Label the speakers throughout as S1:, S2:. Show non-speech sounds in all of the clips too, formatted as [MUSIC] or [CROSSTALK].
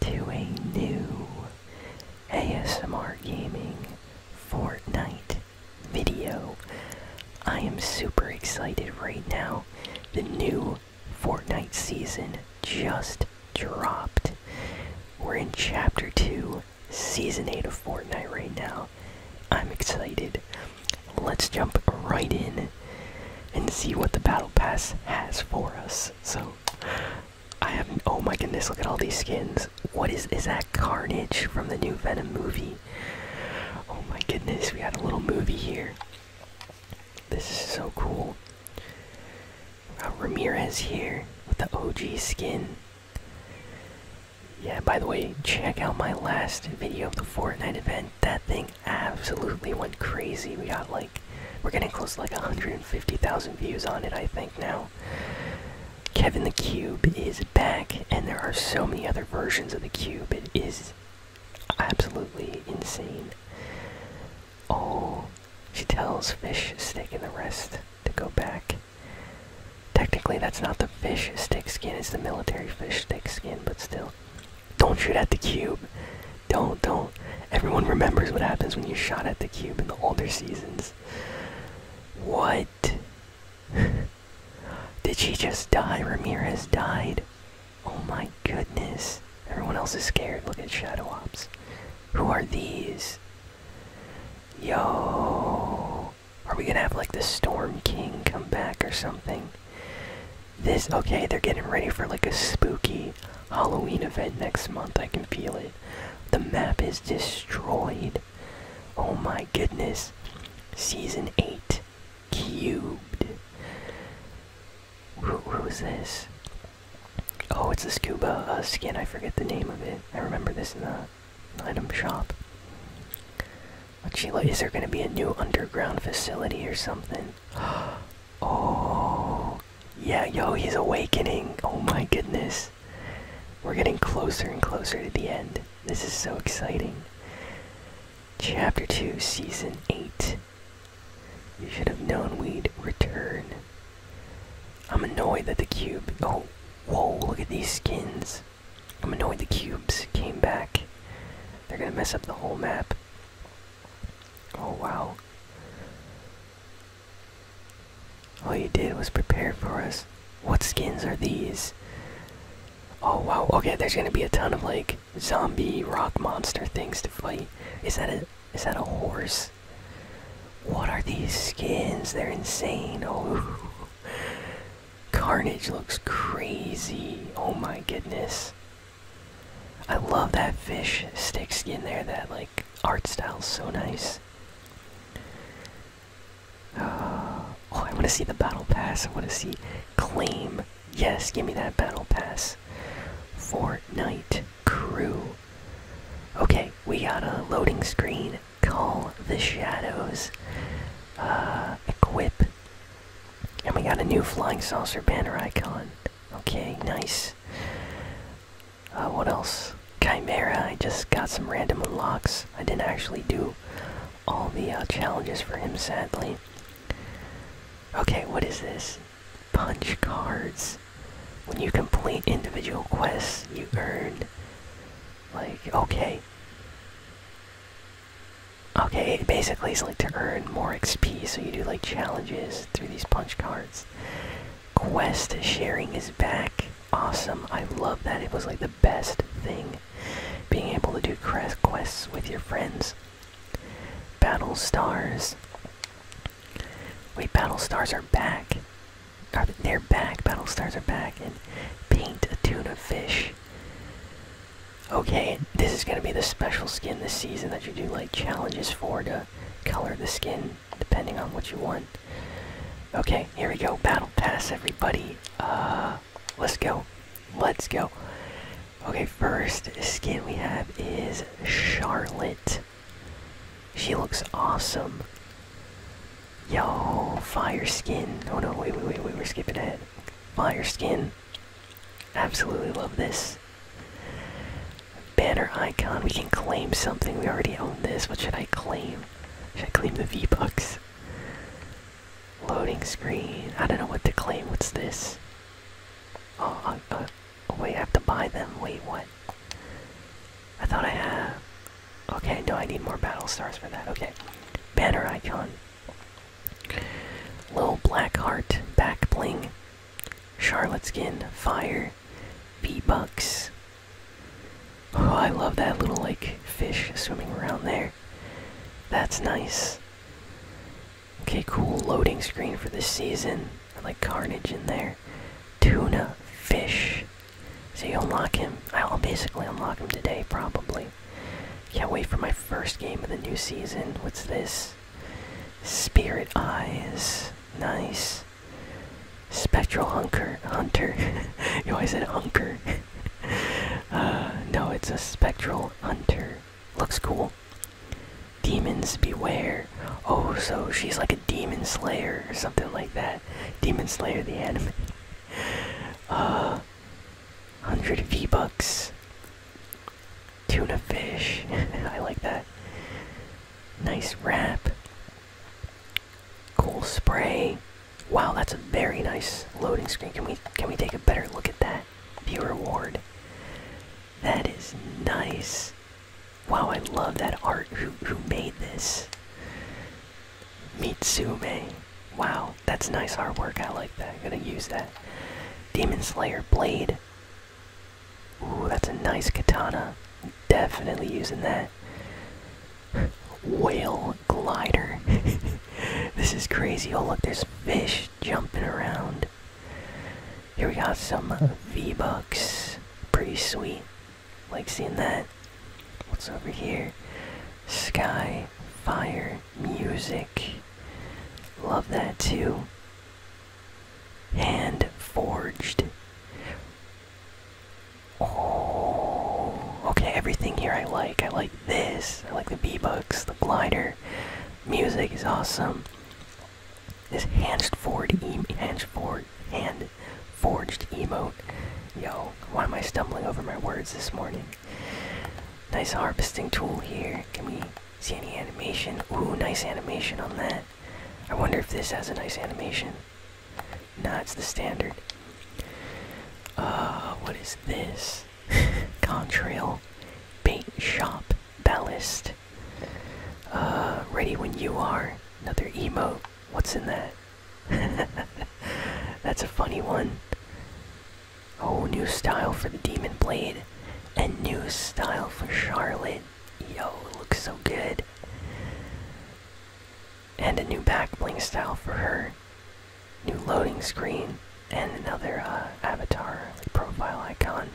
S1: to a new ASMR Gaming Fortnite video. I am super excited right now. The new Fortnite season just dropped. We're in Chapter 2, Season 8 of Fortnite right now. I'm excited. Let's jump right in and see what the Battle Pass has for us. So, I have. Oh my goodness! Look at all these skins. What is is that? Carnage from the new Venom movie. Oh my goodness! We got a little movie here. This is so cool. Ramirez here with the OG skin. Yeah, by the way, check out my last video of the Fortnite event. That thing absolutely went crazy. We got like we're getting close to like 150,000 views on it, I think now. Kevin the Cube is back, and there are so many other versions of the Cube. It is absolutely insane. Oh, she tells Fish Stick and the rest to go back. Technically, that's not the fish stick skin, it's the military fish stick skin, but still. Don't shoot at the cube. Don't, don't. Everyone remembers what happens when you shot at the cube in the older seasons. What? [LAUGHS] Did she just die? Ramirez died. Oh my goodness. Everyone else is scared. Look at Shadow Ops. Who are these? Yo. Are we gonna have like the Storm King come back or something? This, okay, they're getting ready for like a spooky Halloween event next month. I can feel it. The map is destroyed. Oh my goodness. Season 8 cubed. who is this? Oh, it's the scuba uh, skin. I forget the name of it. I remember this in the item shop. Sheila, is there going to be a new underground facility or something? [GASPS] Oh, Oh, yeah, yo, he's awakening. Oh my goodness. We're getting closer and closer to the end. This is so exciting. Chapter 2, Season 8. You should have known we'd return. I'm annoyed that the cube. Oh, whoa, look at these skins. I'm annoyed the cubes came back. They're gonna mess up the whole map. Oh, wow. All you did was prepare for us. What skins are these? Oh wow, okay, there's gonna be a ton of like zombie rock monster things to fight. Is that a is that a horse? What are these skins? They're insane. Oh [LAUGHS] Carnage looks crazy. Oh my goodness. I love that fish stick skin there, that like art style so nice. Uh, oh, I want to see the battle pass. I want to see claim. Yes, give me that battle pass. Fortnite crew. Okay, we got a loading screen. Call the shadows. Uh, equip. And we got a new flying saucer banner icon. Okay, nice. Uh, what else? Chimera. I just got some random unlocks. I didn't actually do all the uh, challenges for him, sadly. Okay, what is this? Punch cards. When you complete individual quests, you earn. Like, okay. Okay, basically it's like to earn more XP, so you do like challenges through these punch cards. Quest sharing is back. Awesome. I love that. It was like the best thing. Being able to do quests with your friends. Battle Stars. Wait, Battle Stars are back. they're back. Battle Stars are back. And paint a tuna fish. Okay, this is gonna be the special skin this season that you do like challenges for to color the skin depending on what you want. Okay, here we go. Battle pass, everybody. Uh, let's go. Let's go. Okay, first skin we have is Charlotte. She looks awesome. Yo, fire skin. Oh no, wait, wait, wait, wait, we're skipping ahead. Fire skin. Absolutely love this. Banner icon. We can claim something. We already own this. What should I claim? Should I claim the V-Bucks? Loading screen. I don't know what to claim. What's this? Oh, uh, uh, oh, wait, I have to buy them. Wait, what? I thought I had. Okay, no, I need more battle stars for that. Okay. Banner icon. Little black heart. Back bling. Charlotte skin. Fire here. bucks Oh, I love that little, like, fish swimming around there. That's nice. Okay, cool loading screen for this season. I like Carnage in there. Tuna. Fish. So you unlock him. I'll basically unlock him today, probably. Can't wait for my first game of the new season. What's this? Spirit Eyes. Nice. Spectral hunker, hunter. [LAUGHS] you always said hunker. [LAUGHS] Uh, no, it's a spectral hunter. Looks cool. Demons beware. Oh, so she's like a demon slayer or something like that. Demon Slayer the anime. [LAUGHS] Uh, 100 V-Bucks. Tuna fish. I like that. Nice wrap. Cool spray. Wow, that's a very nice loading screen. Can we can we take a better look at that? View reward. That is nice. Wow, I love that art. Who who made this? Mitsume. Wow, that's nice artwork. I like that. I'm gonna use that. Demon Slayer blade. Ooh, that's a nice katana. Definitely using that. Whale glider. [LAUGHS] this is crazy. Oh, look, there's fish jumping around. Here we got some V-Bucks. Pretty sweet. Like seeing that. What's over here? Sky, fire, music. Love that too. Hand forged. Oh, okay. Everything here I like. I like this. I like the B bucks, the glider. Music is awesome. This hand forged, hand forged, hand forged emote. Yo, why am I stumbling over my words this morning? Nice harvesting tool here. Can we see any animation? Ooh, nice animation on that. I wonder if this has a nice animation. Nah, it's the standard. Uh, what is this? [LAUGHS] Contrail, paint shop, ballast. Uh, ready when you are. Another emo. What's in that? [LAUGHS] That's a funny one. Oh, new style for the Demon Blade, and new style for Charlotte. Yo, looks so good. And a new back bling style for her. New loading screen and another uh, avatar profile icon.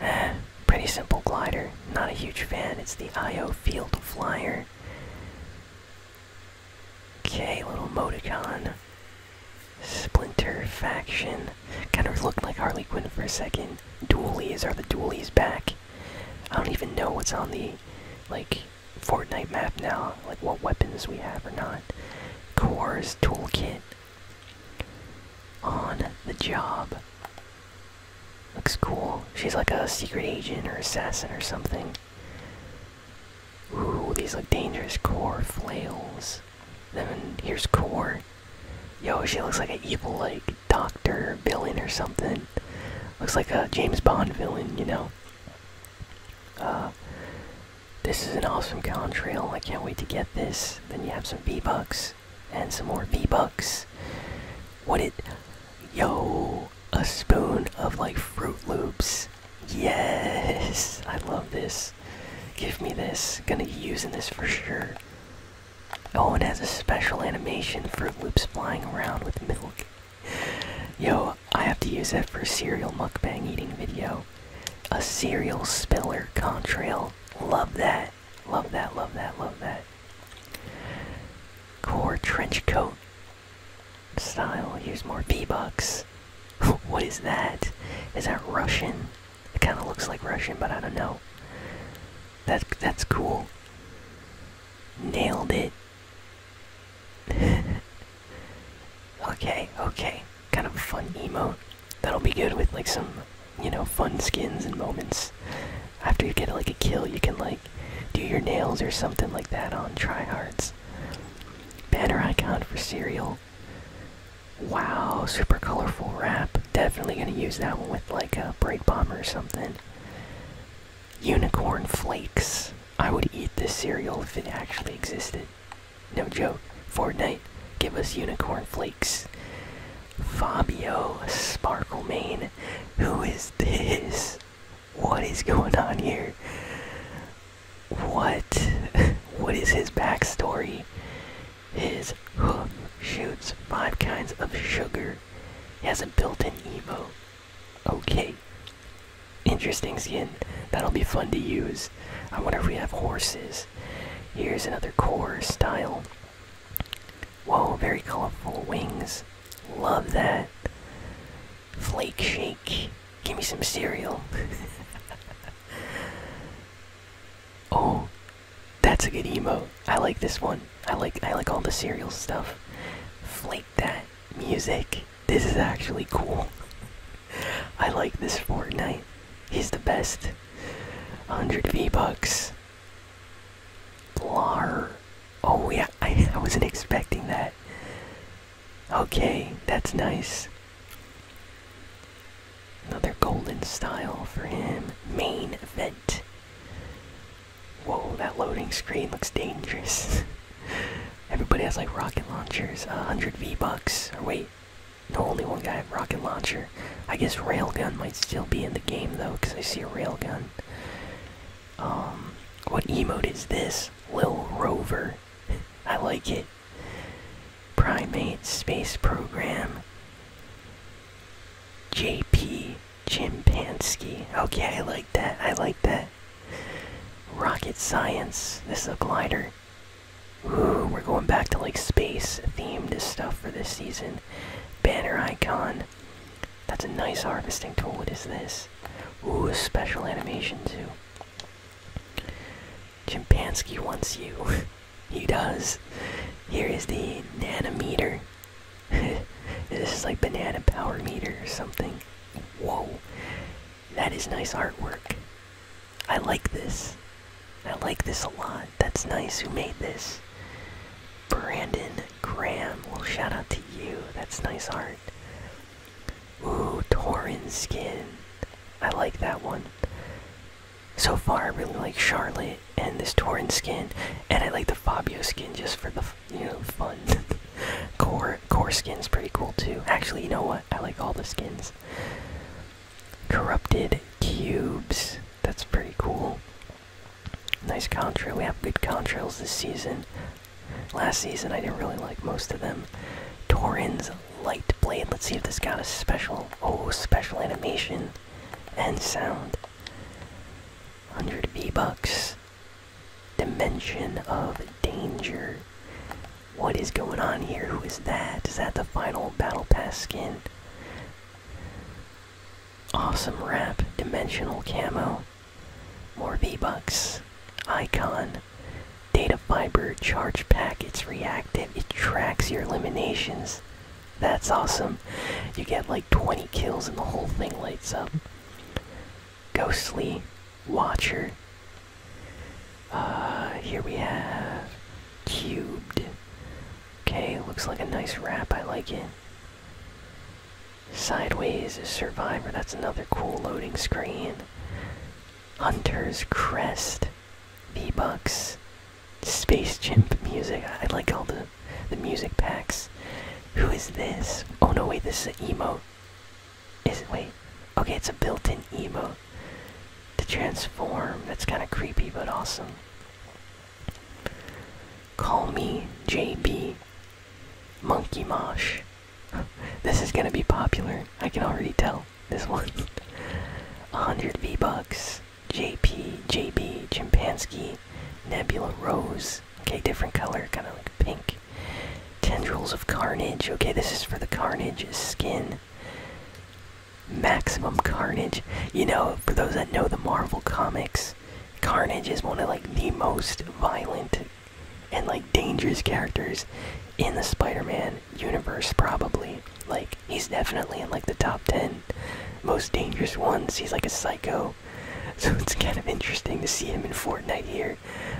S1: Eh, pretty simple glider. Not a huge fan. It's the IO Field Flyer. Okay, little Moticon. Splinter faction. Kind of looked like Harley Quinn for a second dualies. Are the dualies back? I don't even know what's on the like Fortnite map now. Like what weapons we have or not. Core's toolkit. On the job. Looks cool. She's like a secret agent or assassin or something. Ooh, these look dangerous. Core flails. Then here's core. Yo, she looks like an evil, like, doctor villain or something. Looks like a James Bond villain, you know? Uh, this is an awesome contrail. I can't wait to get this. Then you have some V-Bucks. And some more V-Bucks. What it... Yo! A spoon of, like, Fruit Loops. Yes! [LAUGHS] I love this. Give me this. Gonna be using this for sure. Oh, it has a special animation for loops flying around with milk. Yo, I have to use that for a cereal mukbang eating video. A cereal spiller contrail. Love that. Love that, love that, love that. Core trench coat style. Use more V-Bucks. [LAUGHS] what is that? Is that Russian? It kind of looks like Russian, but I don't know. That's that's cool. Nailed it. [LAUGHS] okay, okay. Kind of fun emote. That'll be good with like some, you know, fun skins and moments. After you get like a kill, you can like do your nails or something like that on tryhards. Banner icon for cereal. Wow, super colorful wrap. Definitely gonna use that one with like a break bomber or something. Unicorn flakes. I would eat this cereal if it actually existed. No joke. Fortnite, give us unicorn flakes. Fabio Sparklemane. Who is this? What is going on here? What? [LAUGHS] what is his backstory? His hoof shoots five kinds of sugar. He has a built-in Evo. Okay. Interesting skin. That'll be fun to use. I wonder if we have horses. Here's another core style. Whoa, very colorful wings. Love that. Flake shake. Give me some cereal. [LAUGHS] Oh, that's a good emote. I like this one. I like I like all the cereal stuff. Flake that music. This is actually cool. [LAUGHS] I like this Fortnite. He's the best. 100 V-Bucks. Blar. Oh yeah, I, [LAUGHS] I wasn't expecting that. Okay, that's nice. Another golden style for him. Main event. Whoa, that loading screen looks dangerous. [LAUGHS] Everybody has like rocket launchers. Uh, 100 V-Bucks. Or wait, no, only one guy had rocket launcher. I guess railgun might still be in the game though, because I see a railgun. Um, what emote is this? Lil Rover. [LAUGHS] I like it. Primate space program. JP Chimpansky. Okay, I like that. I like that. Rocket science. This is a glider. Ooh, we're going back to like space themed stuff for this season. Banner icon. That's a nice harvesting tool. What is this? Ooh, special animation too. Chimpansky wants you. [LAUGHS] He does. Here is the nanometer. [LAUGHS] this is like banana power meter or something. Whoa. That is nice artwork. I like this. I like this a lot. That's nice. Who made this? Brandon Graham. Well, shout out to you. That's nice art. Ooh, Torin skin. I like that one. So far, I really like Charlotte and this Torin skin, and I like the Fabio skin just for the you know fun. [LAUGHS] core core skin's pretty cool too. Actually, you know what? I like all the skins. Corrupted cubes. That's pretty cool. Nice contrail. We have good contrails this season. Last season, I didn't really like most of them. Torin's light blade. Let's see if this got a special. Oh, special animation and sound. 100 V-Bucks. Dimension of Danger. What is going on here? Who is that? Is that the final Battle Pass skin? Awesome wrap. Dimensional camo. More V-Bucks. Icon. Data Fiber Charge Pack. It's reactive. It tracks your eliminations. That's awesome. You get like 20 kills and the whole thing lights up. Ghostly Watcher. Uh, here we have Cubed. Okay, looks like a nice wrap. I like it. Sideways is Survivor. That's another cool loading screen. Hunter's Crest. V-Bucks. Space Chimp music. I like all the the music packs. Who is this? Oh no, wait, this is an emote. Is it? Wait. Okay, it's a built-in emote to transform. That's kind of creepy, but awesome. Call me JB. Monkey Mosh. [LAUGHS] this is gonna be popular. I can already tell. This one. 100 [LAUGHS] V-Bucks. JP, JB, Chimpansky, Nebula Rose. Okay, different color, kind of like pink. Tendrils of Carnage. Okay, this is for the Carnage skin. Maximum Carnage. You know, for those that know the Marvel comics, Carnage is one of like the most violent and like dangerous characters in the Spider-Man universe probably. Like he's definitely in like the top 10 most dangerous ones. He's like a psycho. [LAUGHS] So it's kind of interesting to see him in Fortnite here.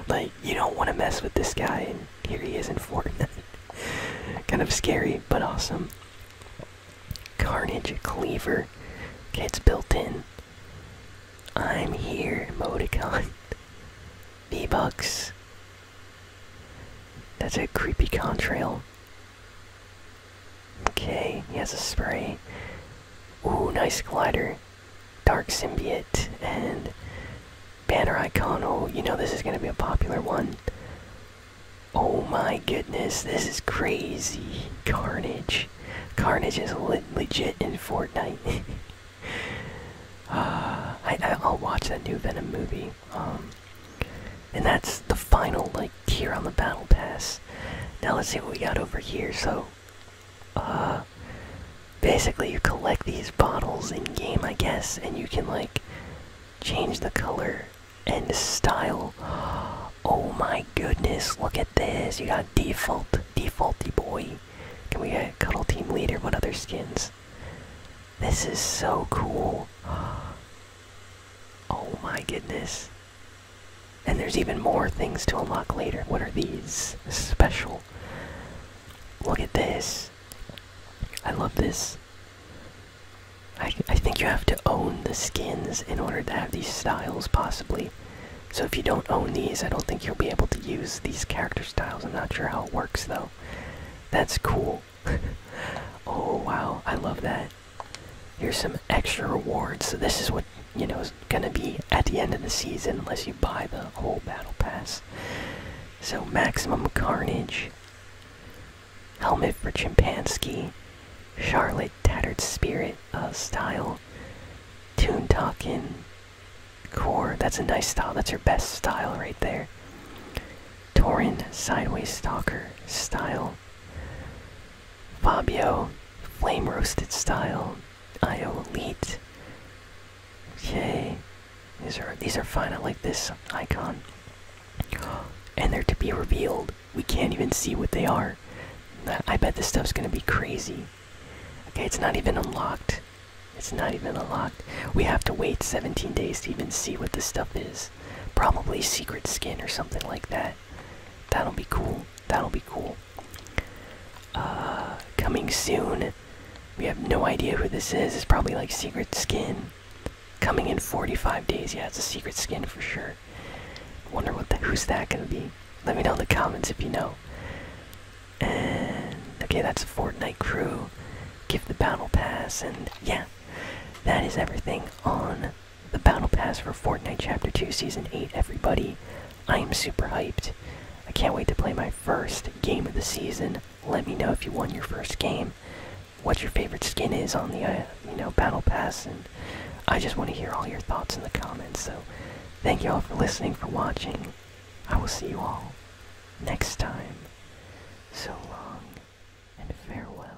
S1: Like you don't want to mess with this guy and here he is in Fortnite. [LAUGHS] kind of scary but awesome. Carnage Cleaver. gets built in. I'm here, Modicon. [LAUGHS] V-Bucks. That's a creepy contrail. Okay, he has a spray. Ooh, nice glider. Dark Symbiote and Banner Icon. Oh, you know this is going to be a popular one. Oh my goodness, this is crazy. Carnage. Carnage is legit in Fortnite. [LAUGHS] uh, I, will watch that new Venom movie. Um, and that's the final like tier on the battle pass now let's see what we got over here so uh basically you collect these bottles in game i guess and you can like change the color and style oh my goodness look at this you got default defaulty boy can we get cuddle team leader what other skins this is so cool [GASPS] oh my goodness and there's even more things to unlock later. What are these? special. Look at this. I love this. I, I think you have to own the skins in order to have these styles, possibly. So if you don't own these, I don't think you'll be able to use these character styles. I'm not sure how it works, though. That's cool. [LAUGHS] oh, wow. I love that. Here's some extra rewards. So this is what you know is gonna be at the end of the season unless you buy the whole battle pass. So maximum carnage, helmet for chimpanzee. Charlotte Tattered Spirit uh, style, Tune talking core. That's a nice style. That's your best style right there. Torin Sideways Stalker style. Fabio, flame roasted style. IO Elite. Okay. These are these are fine. I like this icon. And they're to be revealed. We can't even see what they are. I bet this stuff's gonna be crazy. Okay, it's not even unlocked. It's not even unlocked. We have to wait 17 days to even see what this stuff is. Probably secret skin or something like that. That'll be cool. That'll be cool. Uh, coming soon. We have no idea who this is. It's probably like secret skin. Coming in 45 days. Yeah, it's a secret skin for sure. Wonder what the, who's that gonna be? Let me know in the comments if you know. And okay, that's a Fortnite crew. Give the battle pass, and yeah, that is everything on the battle pass for Fortnite Chapter 2 Season 8, everybody. I am super hyped. I can't wait to play my first game of the season. Let me know if you won your first game, what your favorite skin is on the uh, you know battle pass, and I just want to hear all your thoughts in the comments. So, thank you all for listening, for watching. I will see you all next time. So long and farewell.